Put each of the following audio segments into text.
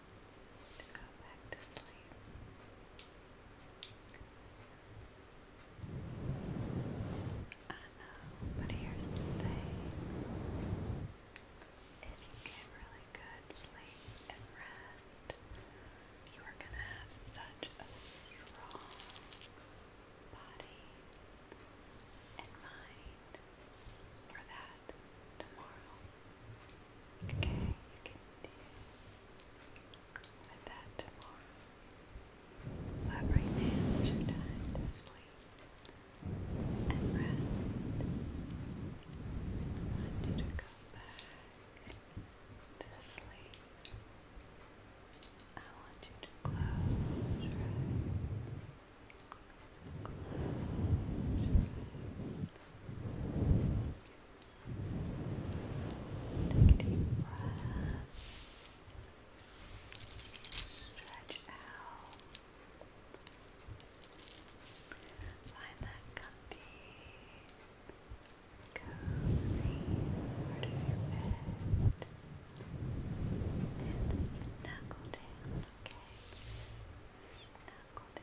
to I know, but here's the thing. If you get really good sleep and rest, you are going to have such a strong body and mind for that that Okay, you can deal with that tomorrow. But right now it's your to sleep and rest. I want you to go back to sleep. I want you to Close your eyes. Take a deep breath. Stretch out. Find that comfy, cozy part of your bed. And snuggle down, okay? Snuggle down.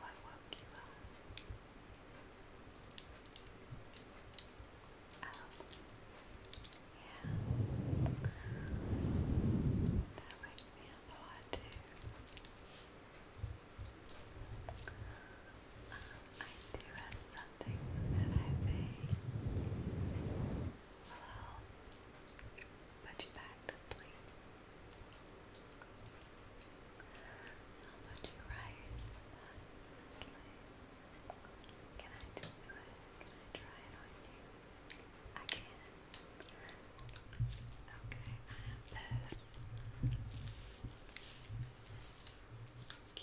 What woke you up? yeah. That wakes me up a lot too. Um, I do have some something put you back to sleep. I'll put you right back to sleep. Can I try it on you? I can. Okay, I have this. q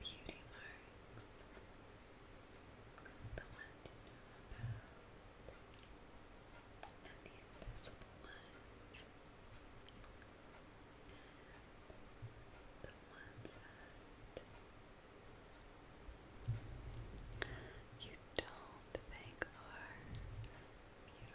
beauty marks, the one you know about, and the invisible ones, and the ones that you don't think are beautiful.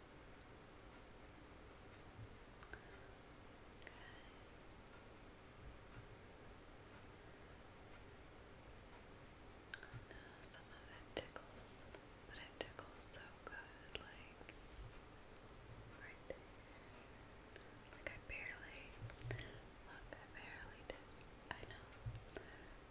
I some of it tickles, but it tickles so good, like right there. Like I barely, look, I barely did. I know,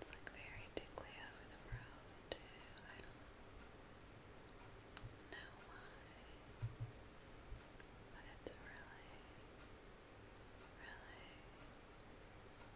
It's like very tickly over the brows too. I don't know why, but it's really, really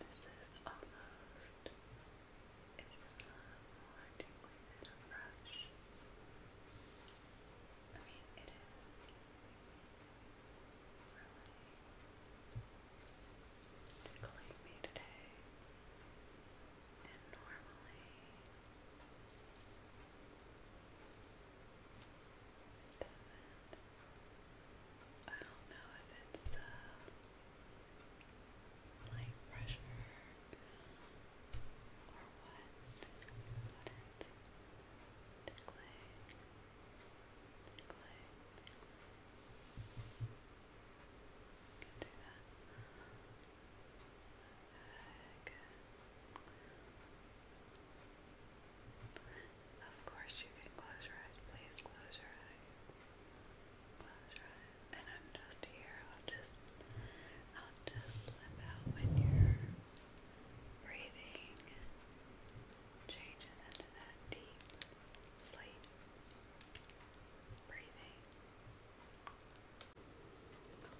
This is almost, if not more deeply than a brush. I mean, it is really tickling me today. And normally it I don't know if it's light pressure or what, but it's tickling, tickling, tickling. Of course you can close your eyes. Please close your eyes. Close your eyes. And I'm just here. I'll just I'll just slip out when your breathing changes into that deep sleep breathing.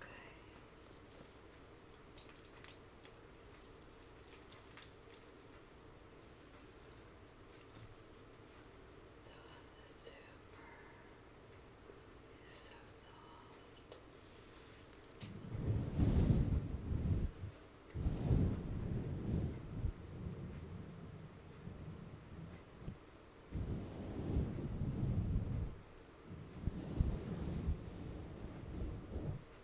Okay. So the super is so soft. It's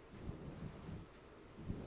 right here. Okay.